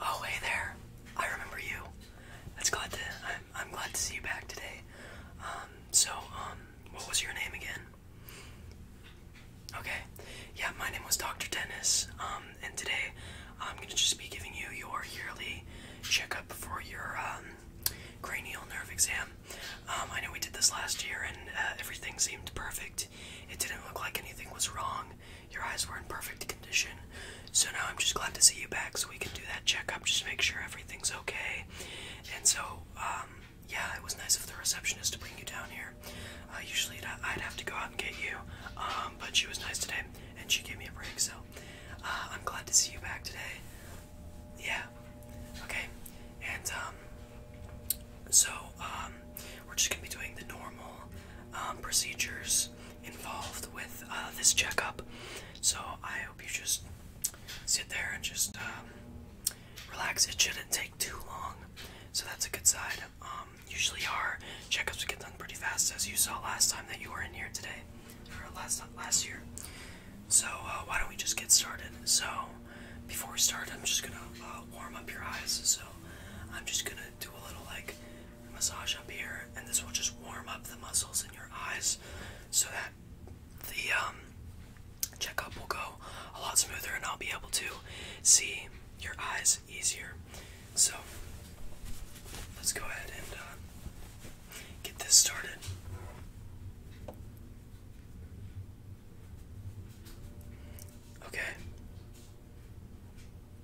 Oh, hey there. I remember you. That's glad to. I'm, I'm glad to see you back today. Um, so, um, what was your name again? Okay. Yeah, my name was Dr. Dennis. Um, and today I'm gonna just be giving you your yearly checkup for your um, cranial nerve exam. Um, I know we did this last year, and uh, everything seemed perfect. It didn't look like anything was wrong. Your eyes were in perfect condition. So now I'm just glad to see you back so we can do that checkup, just make sure everything's okay. And so, um, yeah, it was nice of the receptionist to bring you down here. Uh, usually I'd have to go out and get you, um, but she was nice today and she gave me a break, so uh, I'm glad to see you back today. Yeah, okay. And, um, so, we're just going to be doing the normal um, procedures involved with uh, this checkup. So I hope you just sit there and just um, relax. It shouldn't take too long, so that's a good side. Um, usually our checkups get done pretty fast, as you saw last time that you were in here today, or last last year. So uh, why don't we just get started? So before we start, I'm just gonna uh, warm up your eyes. So I'm just gonna do a little like massage up here, and this will just warm up the muscles in your eyes so that the um, checkup will go a lot smoother and I'll be able to see your eyes easier. So, let's go ahead and uh, get this started. Okay.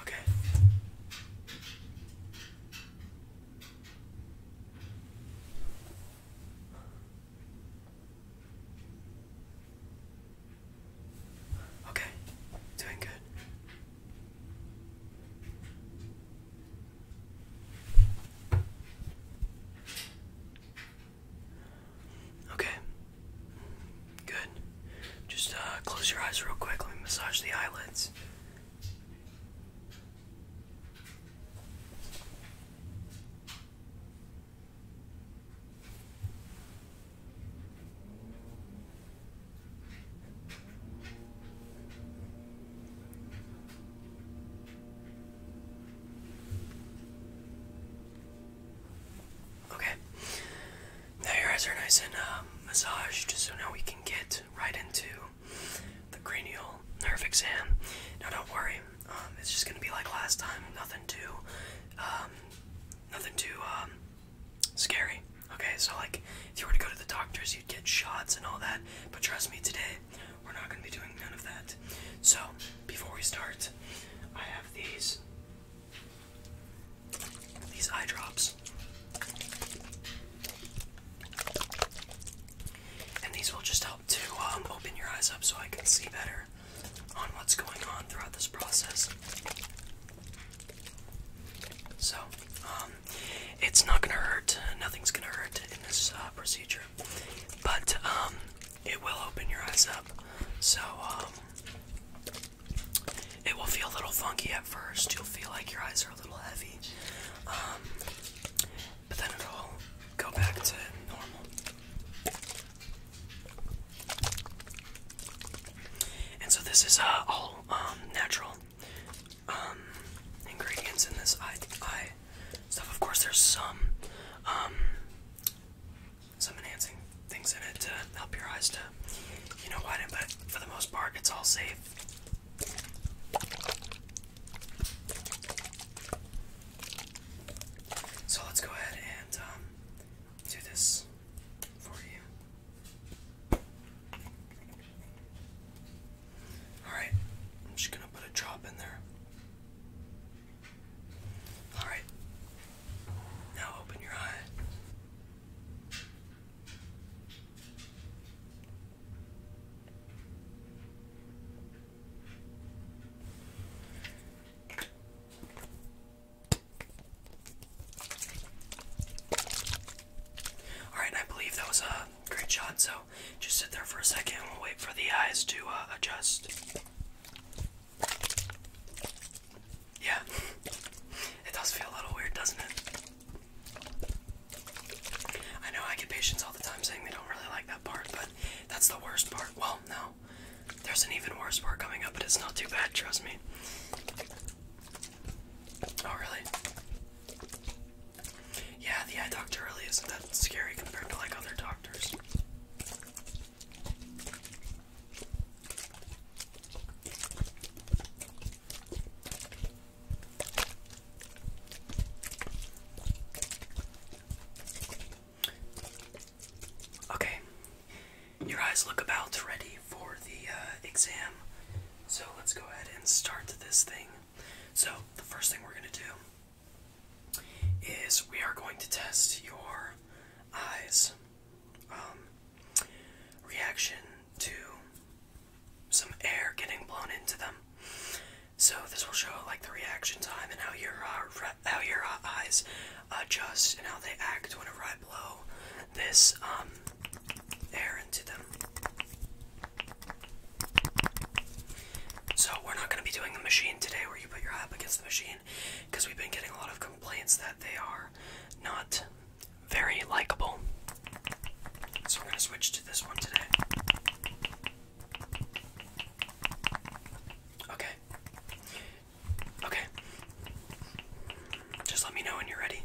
Okay. Okay, doing good. Okay. Good. Just uh, close your eyes real quick. Let me massage the eyelids. Okay. Now your eyes are nice and uh, massaged, so now we can get right into the cranial nerve exam. Now don't worry, um, it's just gonna be like last time. Nothing too, um, nothing too scary. Okay, so like if you were to go to the doctors, you'd get shots and all that. But trust me, today we're not gonna be doing none of that. So before we start, I have these these eye drops. And these will just help to um, open your eyes up so I can see better on what's going on throughout this process. So, um, it's not gonna hurt, nothing's gonna hurt in this uh, procedure. But um, it will open your eyes up. So um, it will feel a little funky at first. You'll feel like your eyes are a little heavy. Um, but then it'll go back to normal. And so this is uh, all natural ingredients in this eye, stuff. Of course, there's some some enhancing things in it to help your eyes to, you know, widen. But for the most part, it's all safe. So let's go ahead and um, do this for you. Alright, I'm just gonna put a drop in there. All right. Now open your eye. All right, I believe that was a great shot. So just sit there for a second and wait for the eyes to uh, adjust. Yeah, it does feel a little weird, doesn't it? I know I get patients all the time saying they don't really like that part, but that's the worst part. Well, no, there's an even worse part coming up, but it's not too bad, trust me. Oh, really? Yeah, the eye doctor really isn't that scary compared to like other doctors. Okay, your eyes look about ready for the uh, exam, so let's go ahead and start this thing. So, the first thing we're gonna do is we are going to test your eyes um, reaction to some air getting blown into them. So this will show like the reaction time and how your uh, how your uh, eyes adjust and how they act whenever I blow this um, air into them. So we're not going to be doing the machine today where you put your eye against the machine because we've been getting a lot of complaints that they are not very likable. So we're going to switch to this one today. Okay. Okay. Just let me know when you're ready.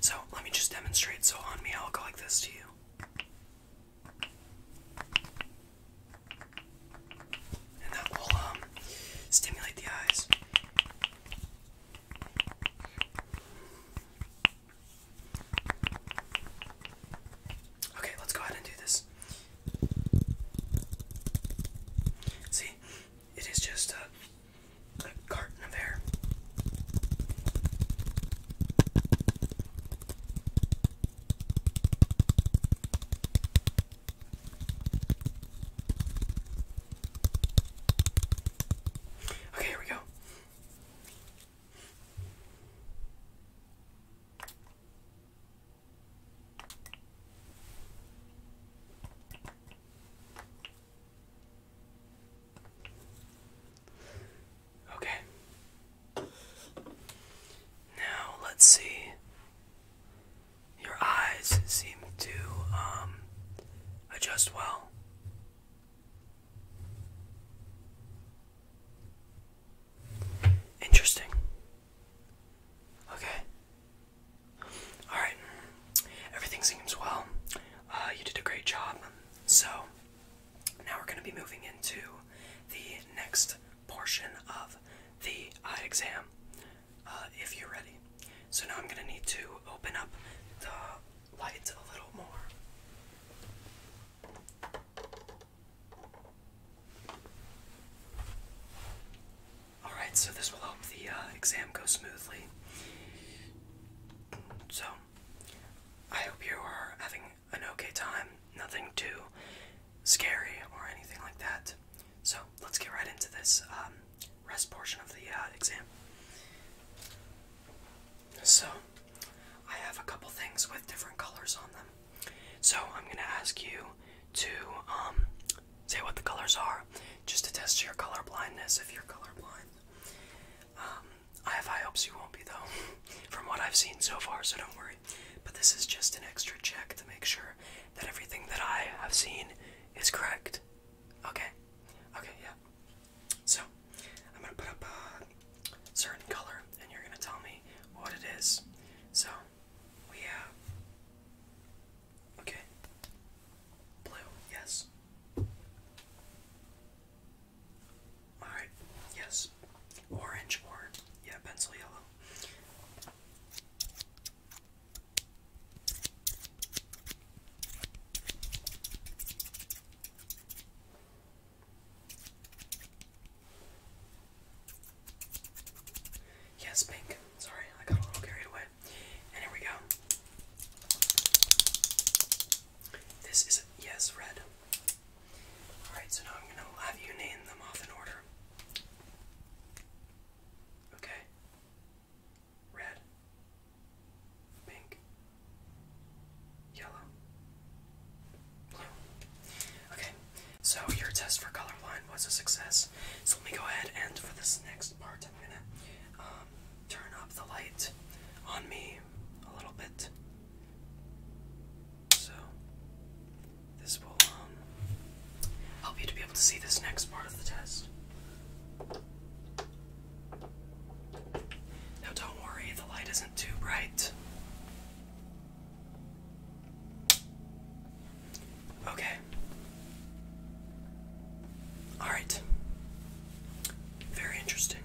So let me just demonstrate. So on me, I'll go like this to you. And that will um, stimulate the eyes. Okay, let's go ahead and do this. See, it is just a, a carton of air. Okay, here we go. Okay. Now let's see. Your eyes seem to um, adjust well. Interesting. Okay. Alright. Everything seems well. Uh, you did a great job. So, now we're going to be moving into the next portion of the eye exam uh, if you're ready. So, now I'm going to need to open up the light a little more. Alright, so this will help the uh, exam go smoothly. So, I hope you are having an okay time. Nothing too scary or anything like that. So, let's get right into this um, rest portion of the uh, exam. So, I have a couple things with different colors on them. So I'm gonna ask you to um, say what the colors are, just to test your color blindness if you're colorblind. Um, I have high hopes you won't be though, from what I've seen so far. So don't worry. But this is just an extra check to make sure that everything that I have seen is correct. Okay. Okay. Yeah. So I'm gonna put up a certain color, and you're gonna tell me what it is. So we have. Okay. Blue, yes. Alright, yes. Orange or, yeah, pencil yellow. Yes, pink. Sorry, I got a little carried away. And here we go. This is yes, red. Alright, so now I'm gonna have you name them off in order. Okay. Red. Pink. Yellow. Okay, so your test for colorblind was a success. So let me go ahead and for this next part, I'm gonna um, turn up the light on me a little bit. So this will um, help you to be able to see this next part of the test. Now, don't worry, the light isn't too bright. Okay. All right. Very interesting.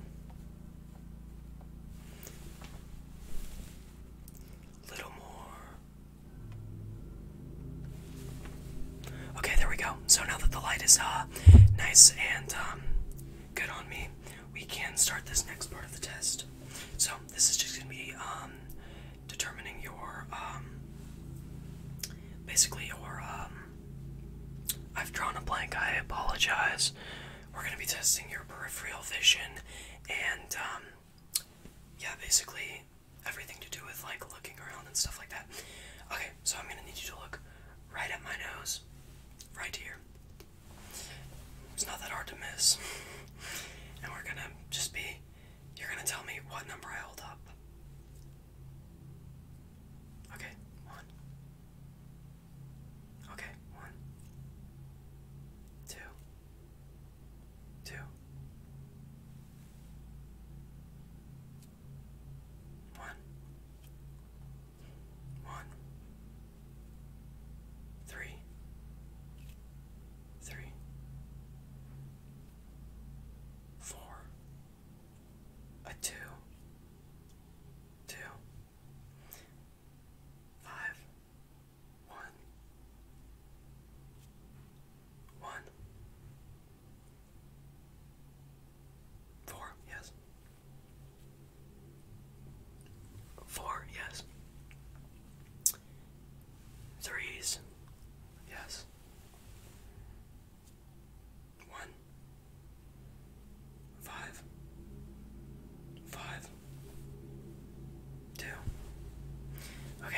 Little more. Okay, there we go. So now that the light is uh nice and um good on me, we can start this next part of the test. So this is just gonna be um, determining your um, basically your um, I've drawn a blank. I apologize. We're gonna be testing your peripheral vision and um, yeah, basically everything to do with like looking around and stuff like that. Okay, so I'm gonna need you to look right at my nose, right here. It's not that hard to miss. And we're gonna just be, you're gonna tell me what number I hold up. Okay, one. Okay, one. Two. Two. One. One, three, three, four, a two, two, five, one, one, four, yes. Four, yes. Threes, yes. One, five, five, two. Okay,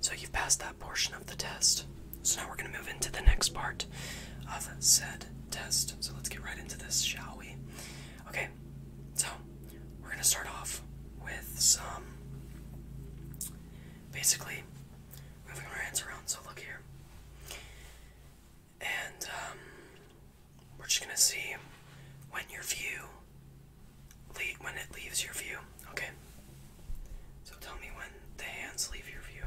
so you've passed that portion of the test. So now we're going to move into the next part of said test. So let's get right into this, shall we? Okay, so we're gonna start off with some basically moving our hands around. So look here, and um, we're just gonna see when your view leave when it leaves your view. Okay, so tell me when the hands leave your view.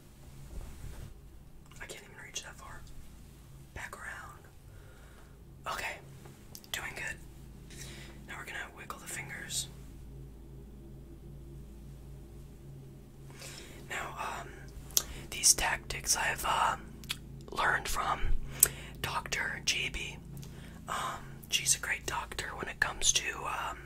I can't even reach that far. Back around. Okay, doing good. Now we're gonna wiggle the fingers. Now, um, these tactics I've uh, learned from Dr. JB. Um, she's a great doctor when it comes to um,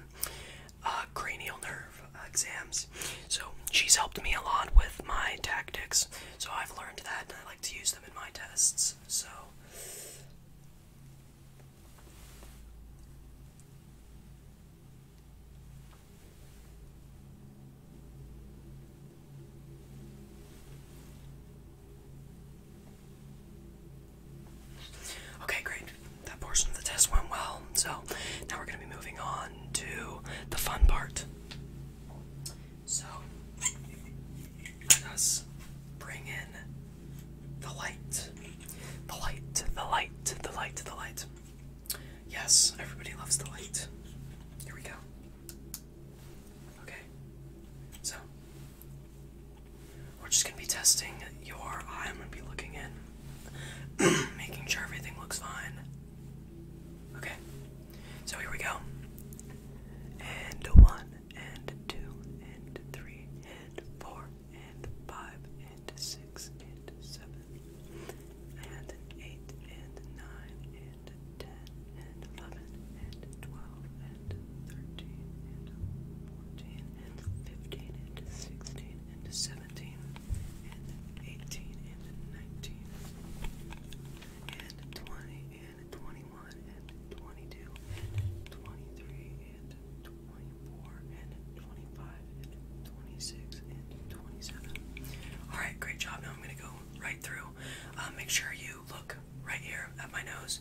uh, cranial nerve exams. So she's helped me a lot with my tactics. So I've learned that, and I like to use them in my tests. So. Okay, great that portion of the test went well. So now we're going to be moving on to the fun part. So let us bring in the light. The light, the light, the light, the light. Yes, everybody loves the light. Here we go. Okay. So we're just gonna be testing your eye. I'm gonna be looking in, making sure everything looks fine. Okay, so here we go. And one, and two, and three, and four, and five, and six, and seven, and eight, and nine, and ten, and eleven, and twelve, and thirteen, and fourteen, and 15 and 16 and 17 and 18 and 19 and 20 and 21 and 22 and 23 and 24 and 25 and 26 and 27. All right, great job. Now I'm going to go right through. Uh, make sure you look right here at my nose.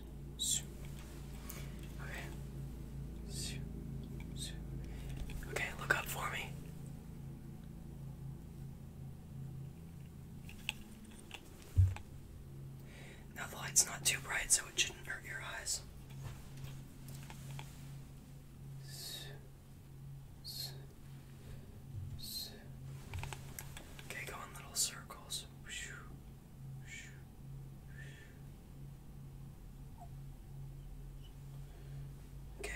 Okay. Okay, look up for me. Now the light's not too bright, so it shouldn't hurt your eyes. Okay, go in little circles. Okay.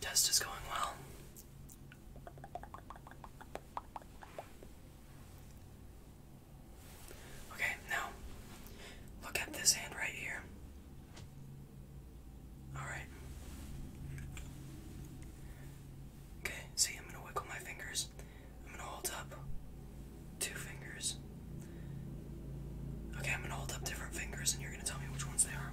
Test is going well. Okay, now look at this hand right here. Alright. Okay, see, I'm gonna wiggle my fingers. I'm gonna hold up two fingers. Okay, I'm gonna hold up different fingers and you're gonna tell me which ones they are.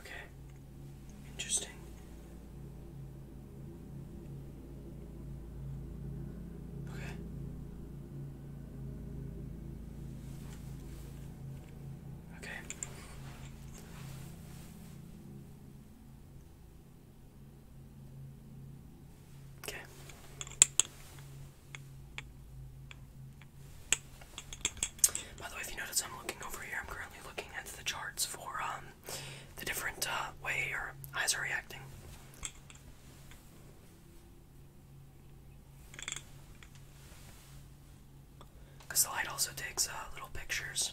Okay. Interesting. Okay. Okay. Okay. By the way, if you notice, I'm looking over here. I'm currently looking at the charts for um, the different uh, way your eyes are reacting. Because the light also takes uh, little pictures.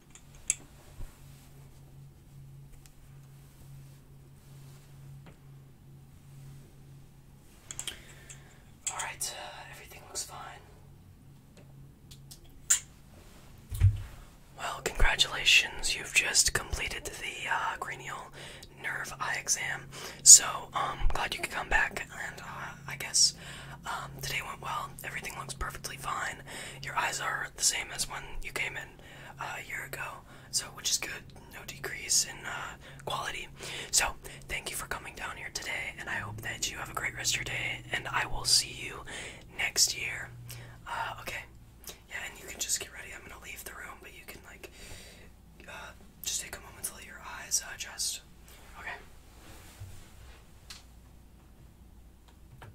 All right, uh, everything looks fine. Well, congratulations. You've just completed the uh, cranial nerve eye exam. So, um, glad you could come back and uh, I guess um, today went well. Everything looks perfectly fine. Your eyes are the same as when you came in. Uh, a year ago, so which is good. No decrease in uh, quality. So thank you for coming down here today, and I hope that you have a great rest of your day. And I will see you next year. Uh, okay. Yeah, and you can just get ready. I'm gonna leave the room, but you can like just take a moment to let your eyes adjust. Okay.